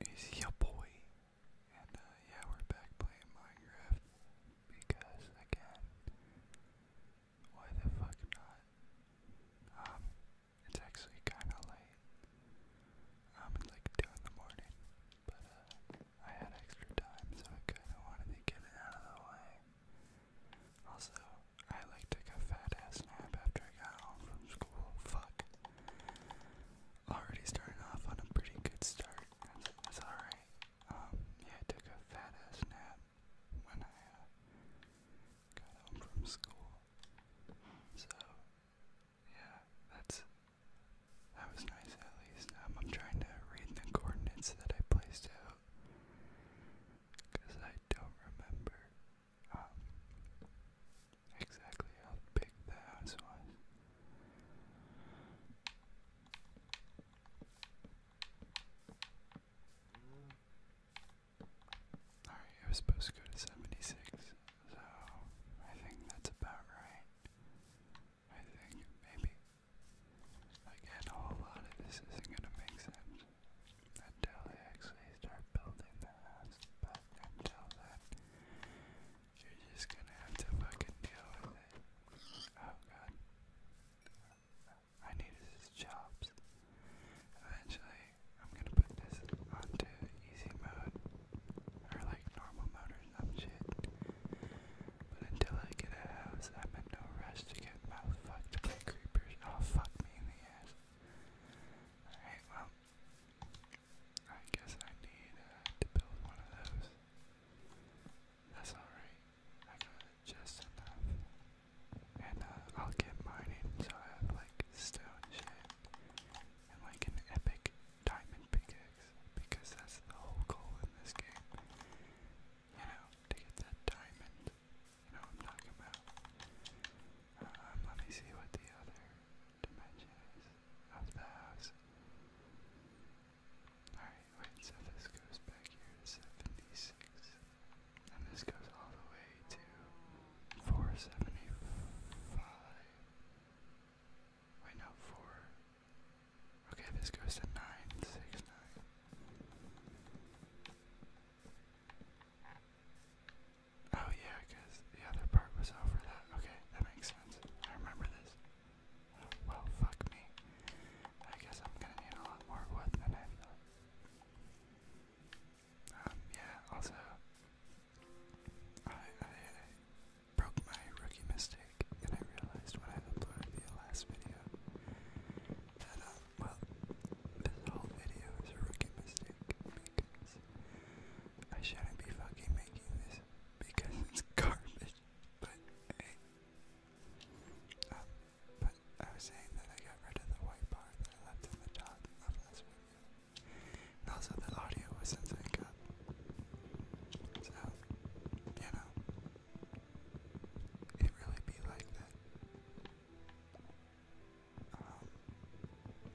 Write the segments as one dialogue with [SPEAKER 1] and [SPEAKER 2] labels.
[SPEAKER 1] It's your boy, and uh, yeah, we're back playing Minecraft because again, why the fuck not? Um, it's actually kind of late. Um, it's like two in the morning, but uh, I had extra time, so I kind of wanted to get it out of the way. Also, I like took a fat ass nap after I got home from school. Fuck. Already starting off on a pretty good start. That's, alright. Um, yeah, I took a fat ass nap when I uh, got home from school. So, yeah, that's. That was nice at least. Um, I'm trying to read the coordinates that I placed out. Because I don't remember. Um, exactly how big the house was. Alright, it was supposed to go to 76, so I think that's about right. I think, maybe. Again, a whole lot of this isn't going to make sense until I actually start building the house, until then, you're just gonna have to fucking deal with it. Oh god. I need his Eventually, I'm gonna put this onto easy mode, or like normal mode or some shit. But until I get a house, I'm in no rush to get mouth fucked by creepers. Oh, fuck me in the ass. Alright, well, I guess I need uh, to build one of those. That's alright. I got just enough. And uh, I'll get mining so I have like stone shit and like an epic diamond pickaxe because that's the whole goal in this game. You know, to get that diamond. You know what I'm talking about. Um, let me see what the other dimension is of the house. Alright, wait, so this goes back here to 76. And this goes all the way to 475. Wait, no, 4. Okay, this goes to 969. Oh yeah, the other part was over that. Okay, that makes sense. I remember this. well, fuck me. I guess I'm gonna need a lot more wood than I thought. Um, yeah, also, I, I, broke my rookie mistake, and I realized when I uploaded the last video that, uh, well, this whole video is a rookie mistake because I shouldn't be fucking making this because it's garbage. But hey. Um, but I was saying that I got rid of the white part that I left in the top of last video. And also the audio wasn't sync up. So, you know. It really be like that. Um,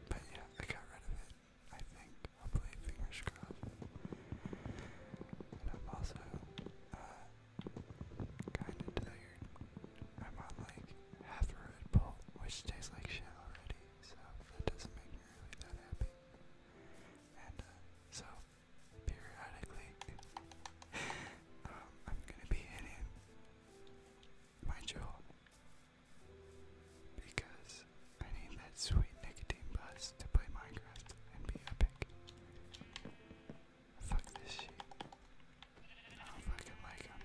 [SPEAKER 1] but yeah, I got rid of it, I think. Hopefully, fingers crossed. And I'm also uh, kind of tired. I'm on like half a Red Bull, which tastes like shit already, so that doesn't make me really that happy. And uh, so, periodically, um, I'm gonna be hitting my jaw because I need that sweet nicotine buzz to play Minecraft and be epic. Fuck this shit. I don't fucking like him.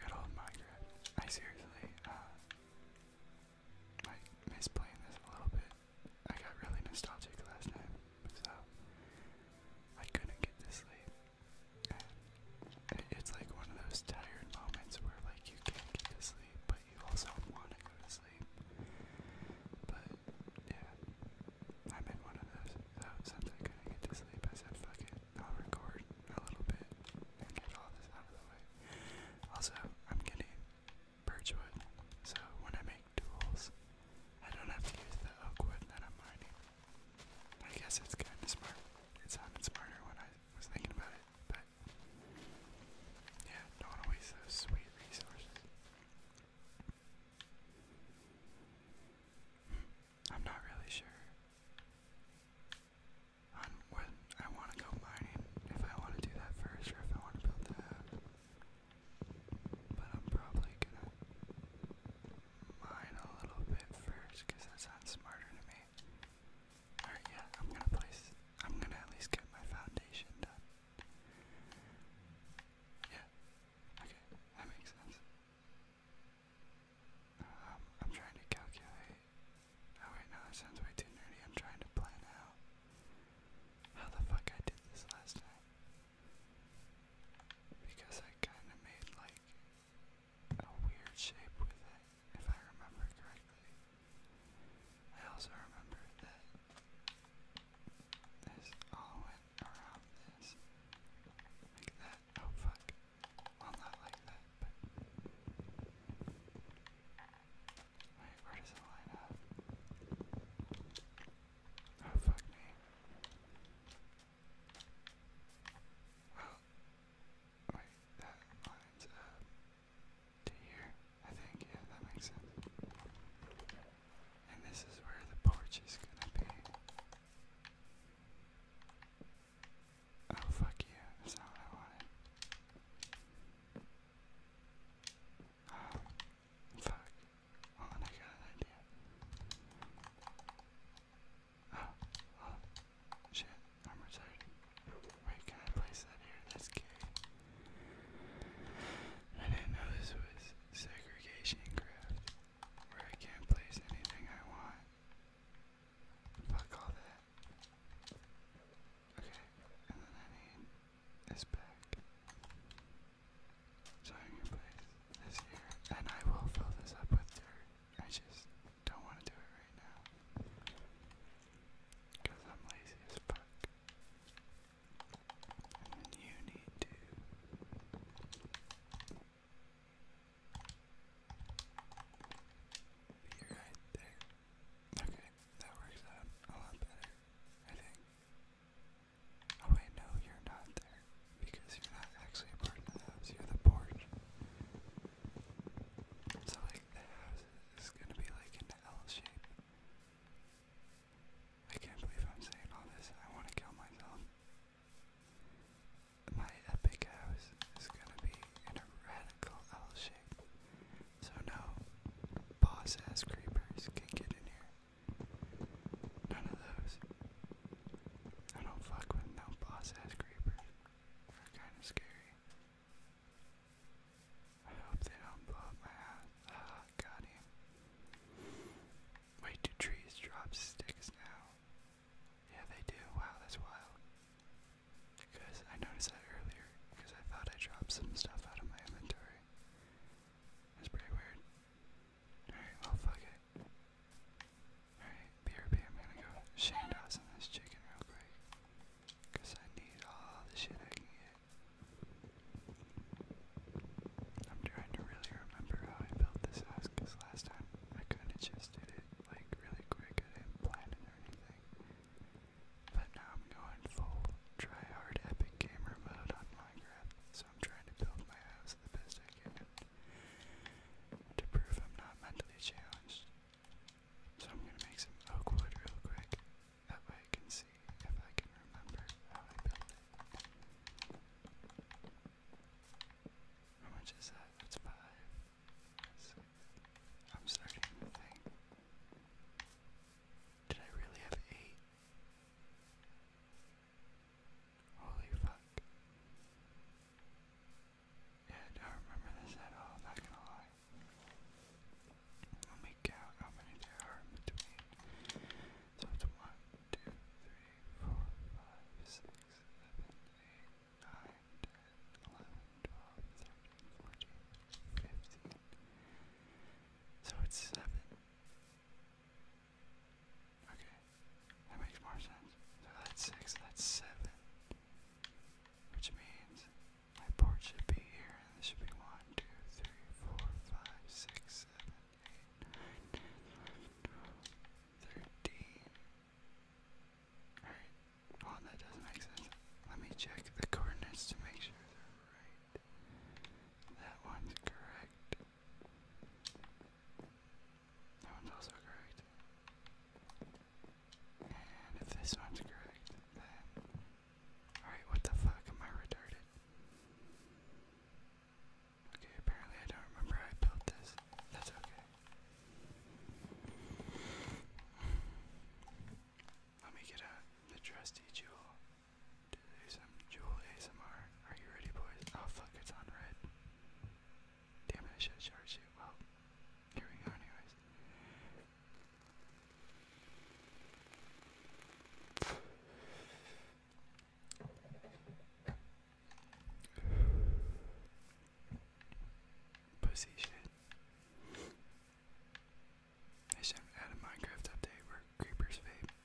[SPEAKER 1] Good old Minecraft. I seriously, uh, like, miss playing this a little bit. I got really nostalgic last night with I couldn't get to sleep. And it's like one of those tired moments where like you can't get to sleep, but you also want to go to sleep. But yeah, I'm in one of those. So since I couldn't get to sleep, I said, "Fuck it, I'll record a little bit and get all this out of the way." Also, I'm getting birchwood, so when I make tools. I don't have to use the oak wood that I'm mining. I guess it's kind of It sounded smarter when I was thinking about it, but yeah, don't waste those sweet resources. I'm not really sure on when I want to go mining, if I want to do that first or if I want to build the but I'm probably gonna mine a little bit first because that sounds smarter to me. Alright, yeah, I'm gonna place. I'm gonna at least get my foundation done. Yeah, okay, that makes sense. Um, I'm trying to calculate. Oh, wait, no, that sounds way too nerdy. I'm trying to plan out how the fuck I did this last time because I kind of made like a weird shape with it, if I remember correctly. I also remember that this all went around this, like that. Oh fuck! Well, not like that, wait, where does it line up? Oh, fuck me. Well, wait, that lines up to here, I think. Yeah, that makes sense. And this is where the porch is gonna be. Oh, fuck you. That's not what I wanted. Um, Fuck. Hold I got an idea. Oh, oh Shit, I'm retarded. Wait, can I place that here? That's gay. I didn't know this was segregation craft. Where I can't place anything I want. Fuck all that. Okay, and then I need is back. So i place this here, and I will fill this up with dirt. I just don't want to do it right now. Because I'm lazy as fuck. you need to. Be right there. Okay, that works out a lot better, I think. Oh wait, no, you're not there. Because you're not actually a part of the house, you're the porch. So like the house is gonna be like an L shape. I can't believe I'm saying all this. I wanna kill myself. My epic house is gonna be in a radical L shape. So no boss ass creepers can get in here. None of those. I don't fuck with no boss ass creepers. They're kinda scary. I hope they don't blow up my ass. Ah, got Wait, do trees drop sticks now? Yeah, they do. Wow, that's wild. Because I noticed that earlier, because I thought I dropped some stuff out of my inventory. It's pretty weird. Alright, well, fuck it. Alright, BRB, I'm gonna go Shane Dawson this chicken real quick. Cause I need all the shit I can get. I'm trying to really remember how I built this house, cause last time I kinda just did it, like, really quick. I didn't plan it or anything. But now I'm going full try hard epic gamer mode on Minecraft so I'm trying to build my house the best I can to prove I'm not mentally challenged. So I'm gonna make some oak wood real quick, that way I can see if I can remember how I built it. How much is that? That's 5 Six. I'm starting to think. Did I really have eight? Holy fuck. Yeah, I don't remember this at all, not gonna lie. Let me count how many there are between. So it's 1, So it's 7. Okay, that makes more sense. So that's six, that's seven. Which means my port should be here, and this should be one, two, three, four, five, six, seven, eight, nine, 11, that doesn't make sense. Let me check the coordinates to make sure they're right. That one's correct. That one's also correct. And if this one's correct, then. Alright, what the fuck? Am I retarded? Okay, apparently I don't remember I built this. That's okay. Let me get out the trusty jewel. Do some Jewel ASMR. Are you ready, boys? Oh fuck, it's on red. Damn it, I should have charged it. here we go, anyways. Pussy shit. I should add a Minecraft update where creepers vape.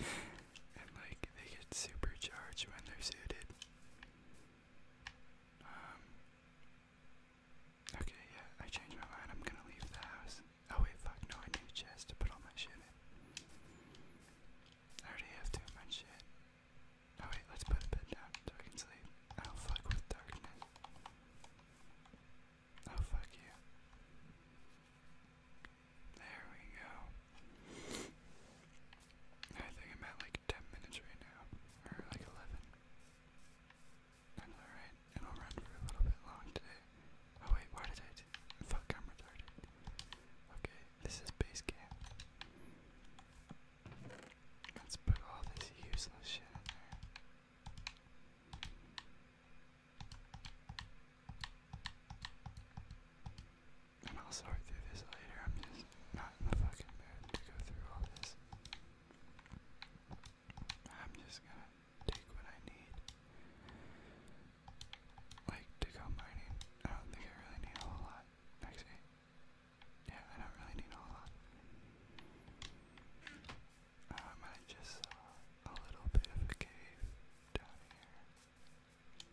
[SPEAKER 1] and like they get supercharged when they're suited. Um Okay, yeah, I changed my mind. I'm gonna leave the house. Oh wait, fuck, no, I need a chest to put all my shit in. I already have too much shit. Oh wait, let's put a bed down so I can sleep. I oh, don't fuck with darkness. Oh, fuck you. There we go. I think I'm at like 10 minutes right now, or like 11. alright, it'll run for a little bit long today. Oh wait, why did I Fuck, I'm Okay, this is base camp. Let's put all this useless shit and I'll sort through this later. I'm just not in the fucking mood to go through all this. I'm just gonna take what I need. Like to go mining. I don't think I really need a whole lot. Actually. Yeah, I don't really need a whole lot. I just saw uh, a little bit of a cave down here,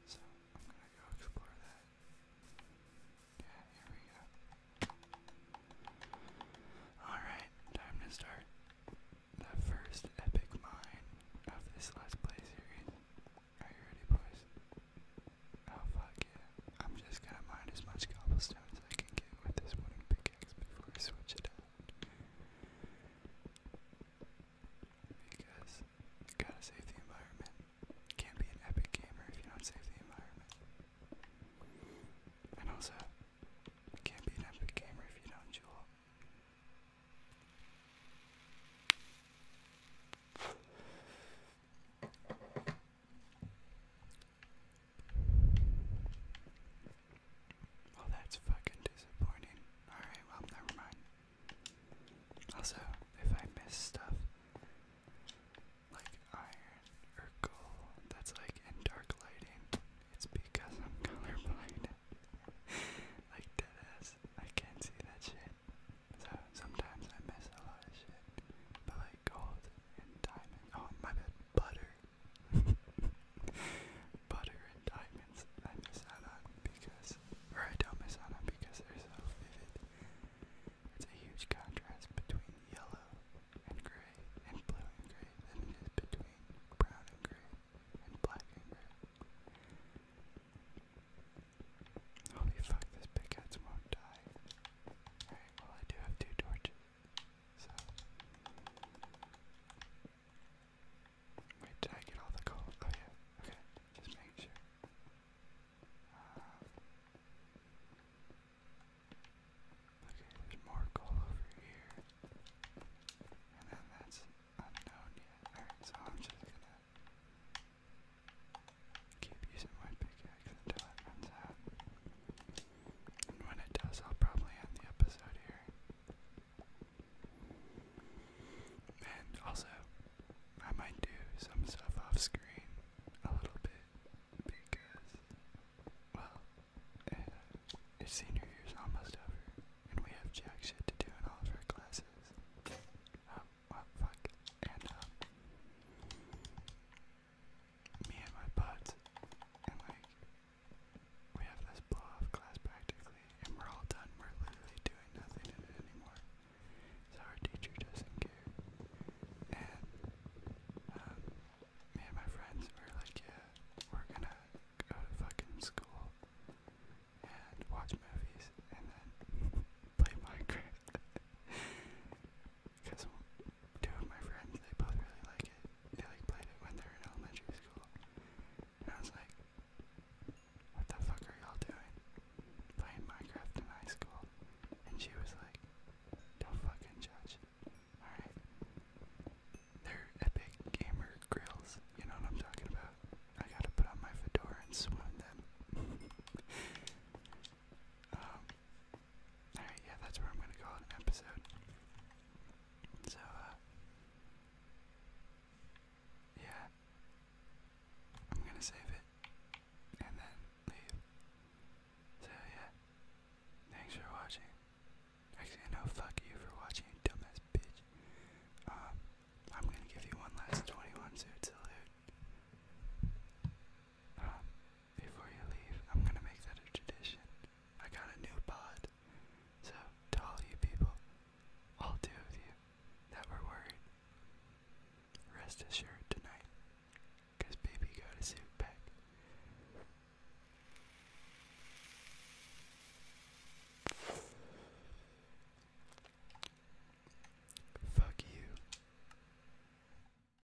[SPEAKER 1] so I'm gonna go explore that. Yeah, here we go. Alright, time to start the first epic mine of this Let's Play series. Are you ready, boys? Oh, fuck yeah. I'm just gonna mine as much cobblestone stones I can get with this wooden pickaxe before I switch it out. Because you gotta save the environment. can't be an epic gamer if you don't save the environment. And also, can't be an epic gamer if you don't jewel. Well, that's fucking disappointing. Alright, well, never mind. Also, if I miss stuff like iron or gold that's like in dark lighting, it's because I'm colorblind. like, deadass, I can't see that shit. So sometimes I miss a lot of shit. But like gold and diamond. Oh, my bad, butter butter and diamonds. I miss out on because, or I don't miss out because they're so vivid. It's a huge contrast between yellow and gray and blue and gray than between brown and gray and black and gray. Holy fuck, this pickaxe won't die. Alright, well I do have two torches. So. Wait, did I get all the coal? Oh yeah, okay, just making sure. Uh, okay, there's more coal over here. And then that's unknown yet. so I'm just gonna keep using my pickaxe until it runs out. And when it does, I'll probably end the episode here. And also, I might do some stuff off screen a little bit because, well, uh, it's senior almost over, and we have jack shit to do in all of our classes. Oh, well, fuck. And, um, me and my buds, and like we have this blow off class practically, and we're all done. We're literally doing nothing in it anymore. So our teacher doesn't care. And um, me and my friends were like, yeah, we're gonna go to fucking school and watch movies and then play Minecraft. Because two of my friends, they both really like it. They like played it when they are in elementary school. And I was like, what the fuck are y'all doing? Playing Minecraft in high school. And she was like, don't fucking judge. Alright. They're epic gamer grills. You know what I'm talking about? I gotta put on my fedora and swoon them. Um, Alright, yeah, that's where I'm gonna call it an episode. So, uh, Yeah. I'm gonna save it. And then leave. So, yeah. Thanks for watching. Actually, no, fuck you for watching, dumbass bitch. Um, I'm gonna give you one last 21 suit salute before you leave, I'm gonna make that a tradition. I got a new pod. So, to all you people, I'll deal with you that were worried, rest assured tonight, baby got a suit back. Fuck you.